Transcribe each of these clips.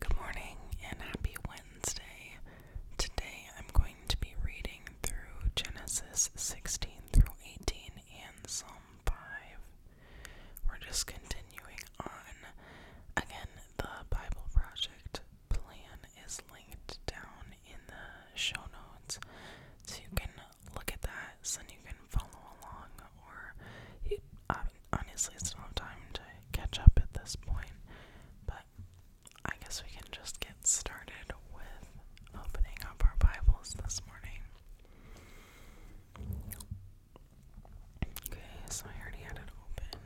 Good morning and happy Wednesday. Today I'm going to be reading through Genesis 16 through 18 and Psalm 5. We're just continuing on. Again, the Bible Project plan is linked down in the show notes so you can look at that so you can follow along or uh, honestly still have time to catch up at this point, but I guess we can just get started with opening up our Bibles this morning. Okay, so I already had it open.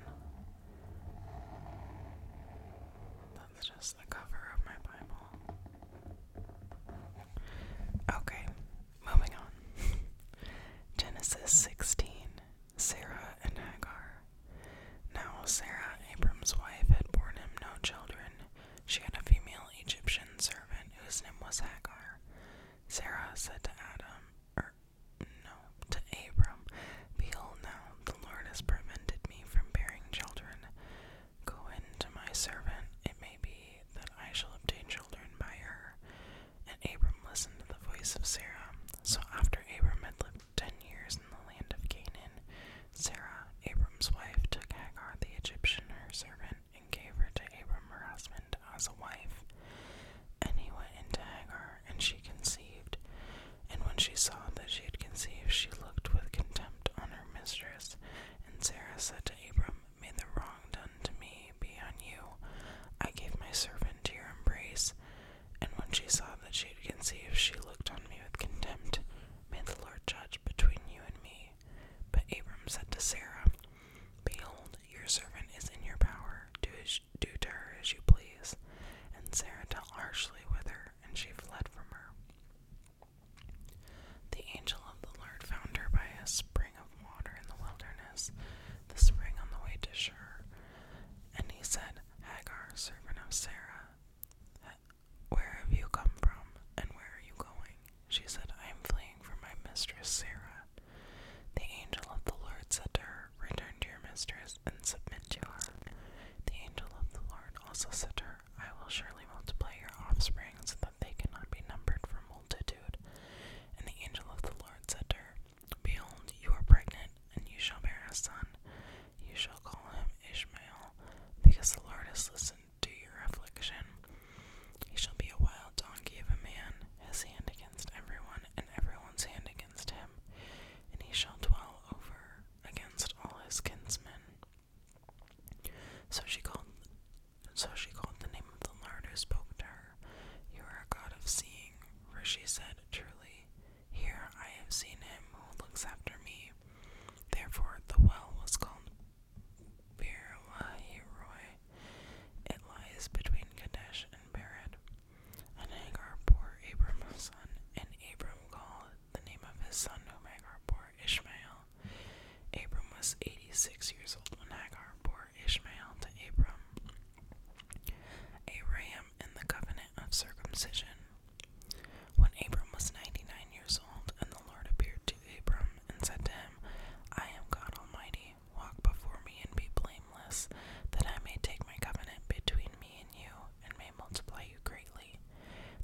That's just the cover of my Bible. Okay, Moving on. Genesis 16 Sarah and Hagar. Now Sarah, Abram's wife, had borne him no children. She had a female Egyptian servant whose name was Hagar. Sarah said to Adam, or er, no, to Abram, Behold, now the Lord has prevented me from bearing children. Go in to my servant, it may be that I shall obtain children by her. And Abram listened to the voice of Sarah. So after Abram had lived ten years in the land of Canaan, Sarah, Abram's wife, took Hagar the Egyptian, her servant, and gave her to Abram, her husband, as a wife. And he went into Hagar, and she conceived. And when she saw that she had conceived, she looked with contempt on her mistress. And Sarah said to Abram, May the wrong done to me be on you. I gave my servant to your embrace, and when she saw that she had conceived, she looked on me with contempt. May the Lord judge between you and me. But Abram said to Sarah, Behold, your servant is in your power. Do, do to her as you please. And Sarah dealt harshly with her, and she fled from her. The angel of the Lord found her by a spring of water in the wilderness, the spring on the way to Shur. And he said, Hagar, servant of Sarah, where have you come from, and where are you going? She said, I am fleeing from my mistress Sarah. The angel of the Lord said to her, Return to your mistress and submit to her. The angel of the Lord also said to her, I will surely multiply your offspring so that they cannot be numbered from and the angel of the Lord said to her, Behold, you are pregnant, and you shall bear a son. You shall call him Ishmael, because the Lord has listened to your affliction. He shall be a wild donkey of a man, his hand against everyone, and everyone's hand against him, and he shall dwell over against all his kinsmen. So she called and so she called the name of the Lord who spoke to her. You are a God of seeing, for she said, Truly, here I have seen him who looks after me. Therefore, the well was called Birlahiroi. It lies between Kadesh and Bered. And Hagar bore Abram a son, and Abram called the name of his son whom Hagar bore bore Ishmael. Abram was 86 years old when Agar bore Ishmael to Abram. A ram in the covenant of circumcision. When Abram was 99 years old, and the Lord appeared to Abram and said to him, I am God Almighty, walk before me and be blameless, that I may take my covenant between me and you, and may multiply you greatly.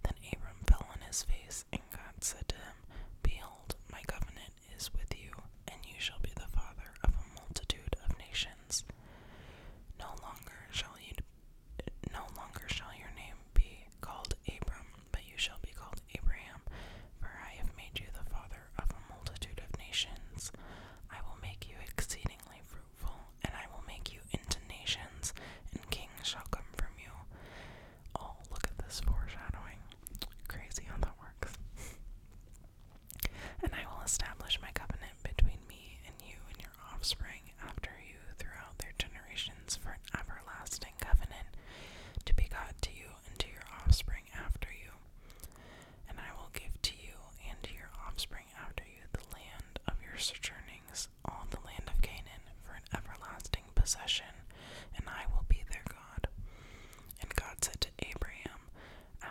Then Abram fell on his face, and God said to him, Behold, my covenant is with you, and you shall be the father of a multitude of nations. No longer shall you no longer shall your name be called Abram, but you shall be called Abraham, for I have made you the father of a multitude of nations. I will make you exceedingly fruitful, and I will make you into nations, and kings shall come from you. Oh, look at this foreshadowing. Crazy how that works. and I will establish my covenant between me and you and your offspring after you throughout their generations for an everlasting covenant to be God to you and to your offspring after you. And I will give to you and to your offspring after you the land of your sojournings all the land of Canaan for an everlasting possession, and I will be their God. And God said to Abraham,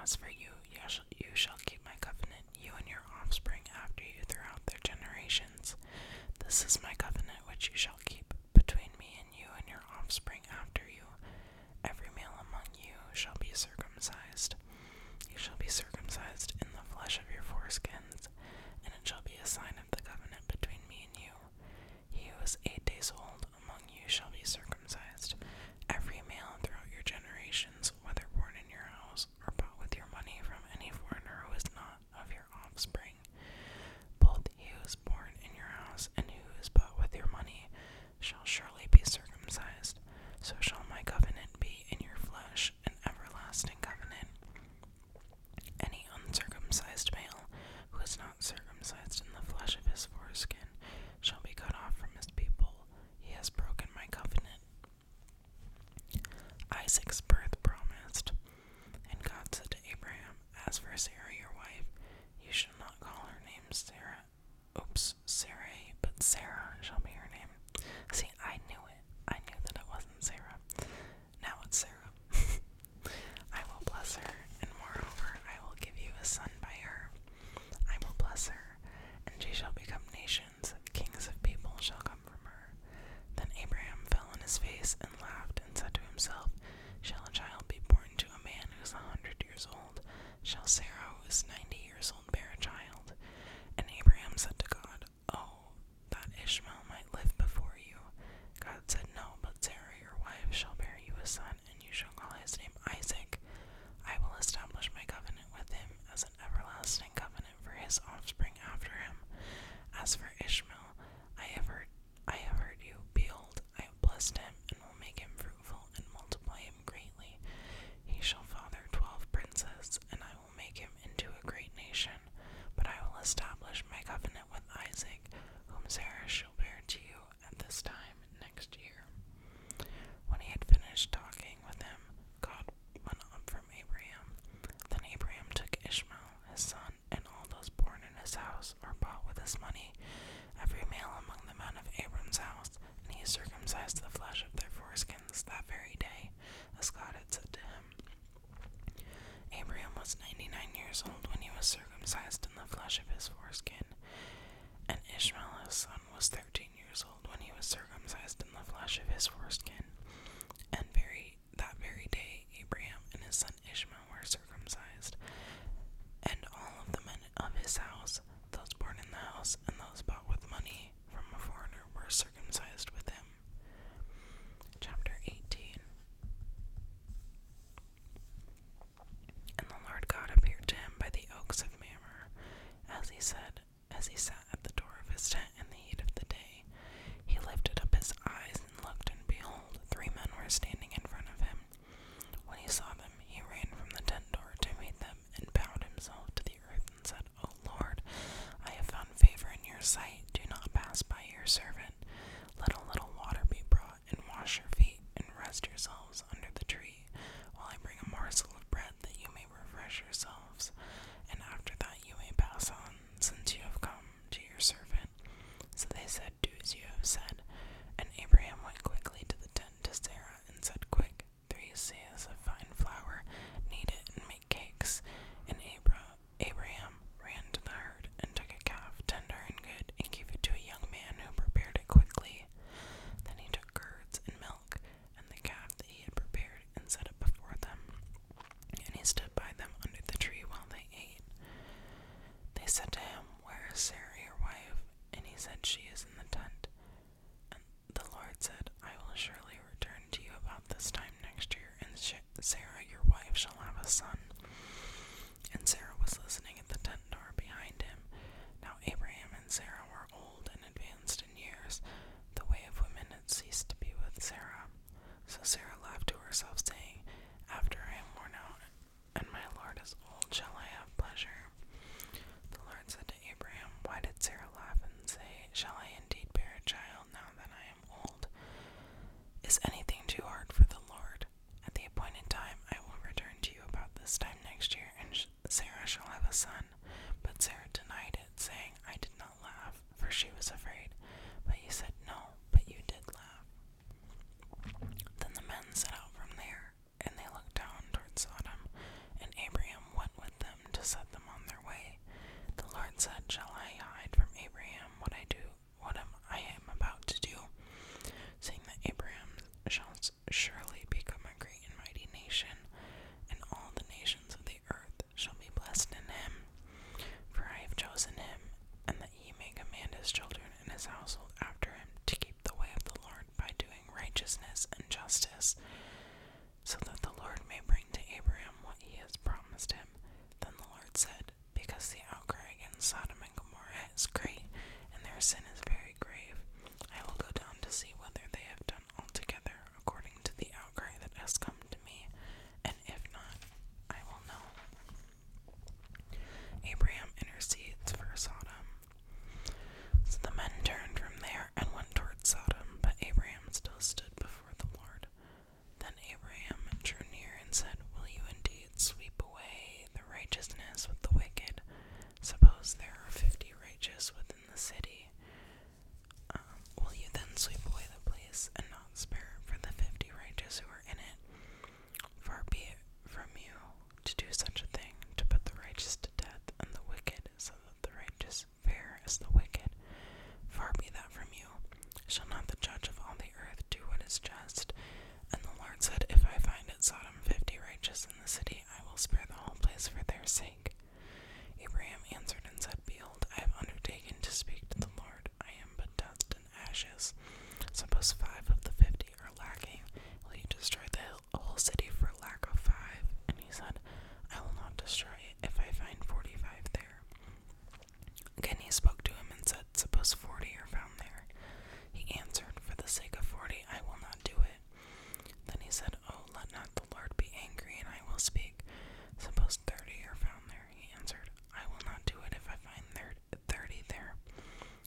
As for you, you shall keep my covenant, you and your offspring after you throughout their generations. This is my covenant which you shall keep between me and you and your offspring after you. Every male among you shall be circumcised. You shall be circumcised in the flesh of your foreskins and it shall be a sign of the covenant between me and you. He who is eight days old among you shall be circumcised, every male throughout your generations, whether born in your house or bought with your money from any foreigner who is not of your offspring. Both he who is born in your house and he who is bought with your money shall surely be circumcised. So shall my covenant be in your flesh, an everlasting covenant. Any uncircumcised male who is not circumcised in the flesh of his foreskin shall be cut off from his people. He has broken my covenant. Isaac's birth promised. And God said to Abraham, As for Sarah, your wife, you shall not call her name Sarah. Oops, Sarai, but Sarah shall be her name. See, I knew it. I knew that it wasn't Sarah. Now it's Sarah. I will bless her, and moreover, I will give you a son by her. I will bless her, and she shall become nations, kings of people shall come from her. Then Abraham fell on his face and laughed, and said to himself, Shall a child be born to a man who is a hundred years old? Shall Sarah, who is ninety years old, bear a child? And Abraham said to God, God, Oh, that Ishmael might live before you. God said, No, but Sarah your wife shall bear you a son, and you shall call his name Isaac. I will establish my covenant with him as an everlasting covenant for his offspring after him. As for Ishmael, I have heard, I have heard you. Behold, I have blessed him, and will make him fruitful, and multiply him greatly. He shall father twelve princes, and I will make him into a great nation, but I will establish my covenant with Isaac, whom Sarah shall bear to you at this time next year. When he had finished talking with him, God went up from Abraham. Then Abraham took Ishmael, his son, and all those born in his house or bought with his money, every male among the men of Abraham's house, and he circumcised the flesh of their foreskins that very day, as God had said to him. Abraham was 99 years old when he was circumcised in the flesh of his foreskin, and Ishmael's son, was 13 years old when he was circumcised in the flesh of his foreskin. And very, that very day, Abraham and his son Ishmael were circumcised, and all of the men of his house, those born in the house and those bought with money from a foreigner, were circumcised with him. Chapter 18 And the Lord God appeared to him by the oaks of Mamre, as he said, as he sat at the door of his tent in the heat of the day. He lifted up his eyes and looked, and behold, three men were standing in front of him. When he saw them, he ran from the tent door to meet them and bowed himself to the earth said, O oh, Lord, I have found favor in your sight. Do not pass by your servant. Let a little water be brought, and wash your feet, and rest yourselves under the tree, while I bring a morsel of bread that you may refresh yourselves. And after that you may pass on, since you have come to your servant. So they said, Do as you have said. And Abraham went quickly to the tent of Sarah, and said, Quick, three seas of fine flour, knead it and make cakes. And Abra Abraham ran to the herd and took a calf, tender and good, and gave it to a young man who prepared it quickly. Then he took curds and milk and the calf that he had prepared and set it before them. And he stood by them under the tree while they ate. They said to him, Where is Sarah your wife? And he said, She is in the tent. And the Lord said, I will surely return to you about this time next year, and Sarah your wife shall have a son. And Sarah was listening at the tent door behind him. Now Abraham and Sarah were old and advanced in years. The way of women had ceased to be with Sarah. So Sarah laughed to herself, saying, After I am worn out, and my Lord is old, shall I have pleasure? The Lord said Abraham, Why did Sarah laugh and say, Shall I indeed bear a child now that I am old? Is anything too hard for the Lord? At the appointed time, I will return to you about this time next year, and Sarah shall have a son. But Sarah denied it, saying, I did not laugh, for she was afraid. But you said, No, but you did laugh. Then the men set out from there, and they looked down towards Sodom, and Abraham went with them to set them on their way. The Lord said, Shall I hide from Abraham what I do, what am I am about to do? saying that Abraham shall surely become a great and mighty nation, and all the nations of the earth shall be blessed in him. For I have chosen him, and that he may command his children and his household after him to keep keep the way of the Lord by doing righteousness and justice, so that the Lord may bring to Abraham what he has promised him. Then the Lord said, Because the outcry against Sodom and Gomorrah is great, and their sin is very grave, I will go down to see whether they have done altogether according to the outcry that has come to me, and if not, I will know. Abraham intercedes for Sodom. So the men turned from there and went toward Sodom, but Abraham still stood before the Lord. Then Abraham drew near and said, Will you indeed sweep away the righteousness with the wicked? Suppose there are fifty righteous within the city. Um, will you then sweep away the place and not spare for the fifty righteous who are in it? Far be it from you, to do such a thing, to put the righteous to death and the wicked, so that the righteous fare as the wicked. Far be that from you. Shall not the judge of all the earth do what is just? And the Lord said, If I find at Sodom fifty righteous in the city, I will spare the whole place for their sake. Abraham answered and said, Behold, I have undertaken to speak to the Lord. I am but dust and ashes. Suppose five of the fifty are lacking, will you destroy the a whole city for lack of five, and he said, I will not destroy it if I find forty five there. Then he spoke to him and said, Suppose forty are found there. He answered, For the sake of forty I will not do it. Then he said, Oh, let not the Lord be angry, and I will speak. Suppose thirty are found there. He answered, I will not do it if I find thirty there.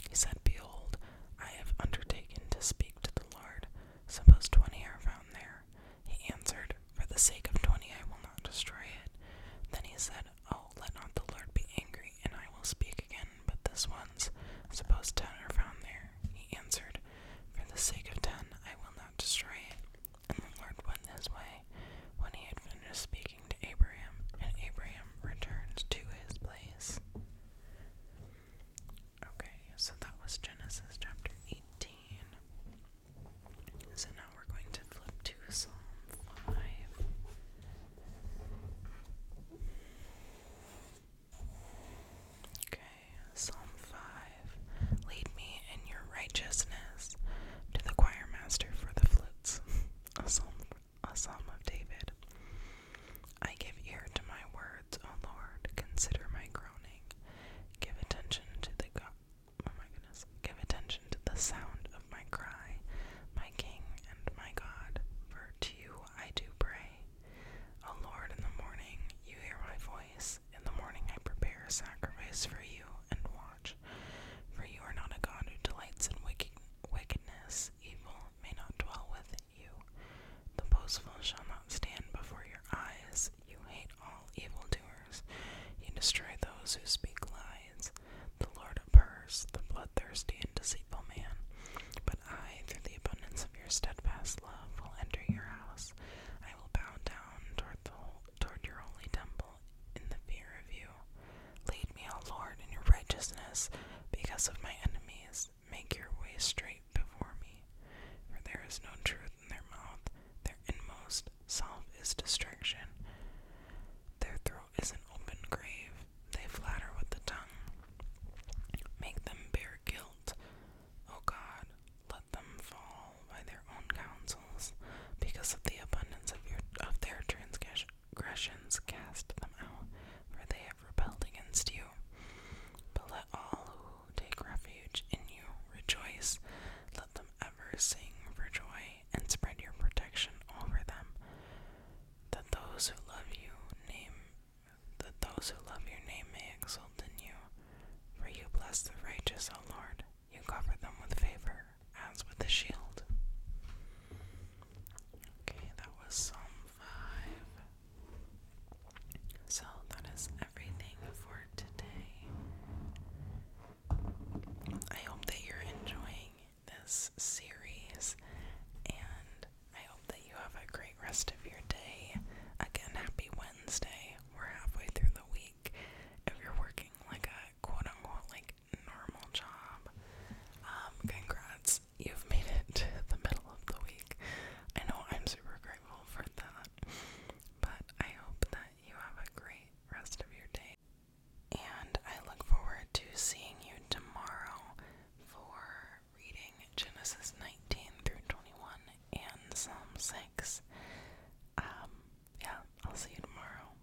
He said, Behold, I have undertaken to speak to the Lord. Suppose twenty are found there. He answered, For the sake of twenty I will not destroy it. Then he said, Oh, let not the Lord be angry, and I will speak again, but this once. Suppose ten are found there. He answered, For the sake of ten I will not destroy it. And the Lord went his way when he had finished speaking to Abraham, and Abraham returned to his place. Okay, so that was Genesis chapter 18. So now we're going to flip to Psalm 5. Okay, Psalm 5. Lead me in your righteousness to the choir for the flutes. psalm a psalm of David. I give ear to my words, O Lord, consider my groaning. Give attention to the oh Give attention to the sound of my cry, my King and my God, for to you I do pray. O Lord, in the morning you hear my voice. In the morning I prepare a sacrifice for you and watch. For you are not a God who delights in wickedness, evil may not dwell with you. The boastful shall not stand before your eyes. You hate all evildoers. You destroy those who speak lies. The Lord abhors the bloodthirsty and deceitful man. But I, through the abundance of your steadfast love, will enter your house. I will bow down toward, the, toward your holy temple in the fear of you. Lead me, O Lord, in your righteousness because of my enemies. Make your way straight before me. For there is no truth in their mouth, their inmost self is destruction. Their throat is an open grave, they flatter with the tongue. Make them bear guilt, O God, let them fall by their own counsels, because of the abundance of, their transgression, transgressions cast them out, for they have rebelled against you. But let all who take refuge in you rejoice. Let them ever sing for joy and spread your protection over them. That those who love you name that those who love your name may exult in you. For you bless the righteous, O Lord. You cover them with favor as with the shield. Okay, that was Psalm 5. So that is everything for today. I hope that you're enjoying this series and I hope that you have a great rest of your day. Again, happy Wednesday. We're halfway through the week. If you're working like a quote unquote like normal job. Um, congrats, you've made it to the middle of the week. I know I'm super grateful for that, but I hope that you have a great rest of your day. And I look forward to seeing you tomorrow for reading Genesis 19 through 21 and Psalm 6. Um, yeah, I'll see you tomorrow.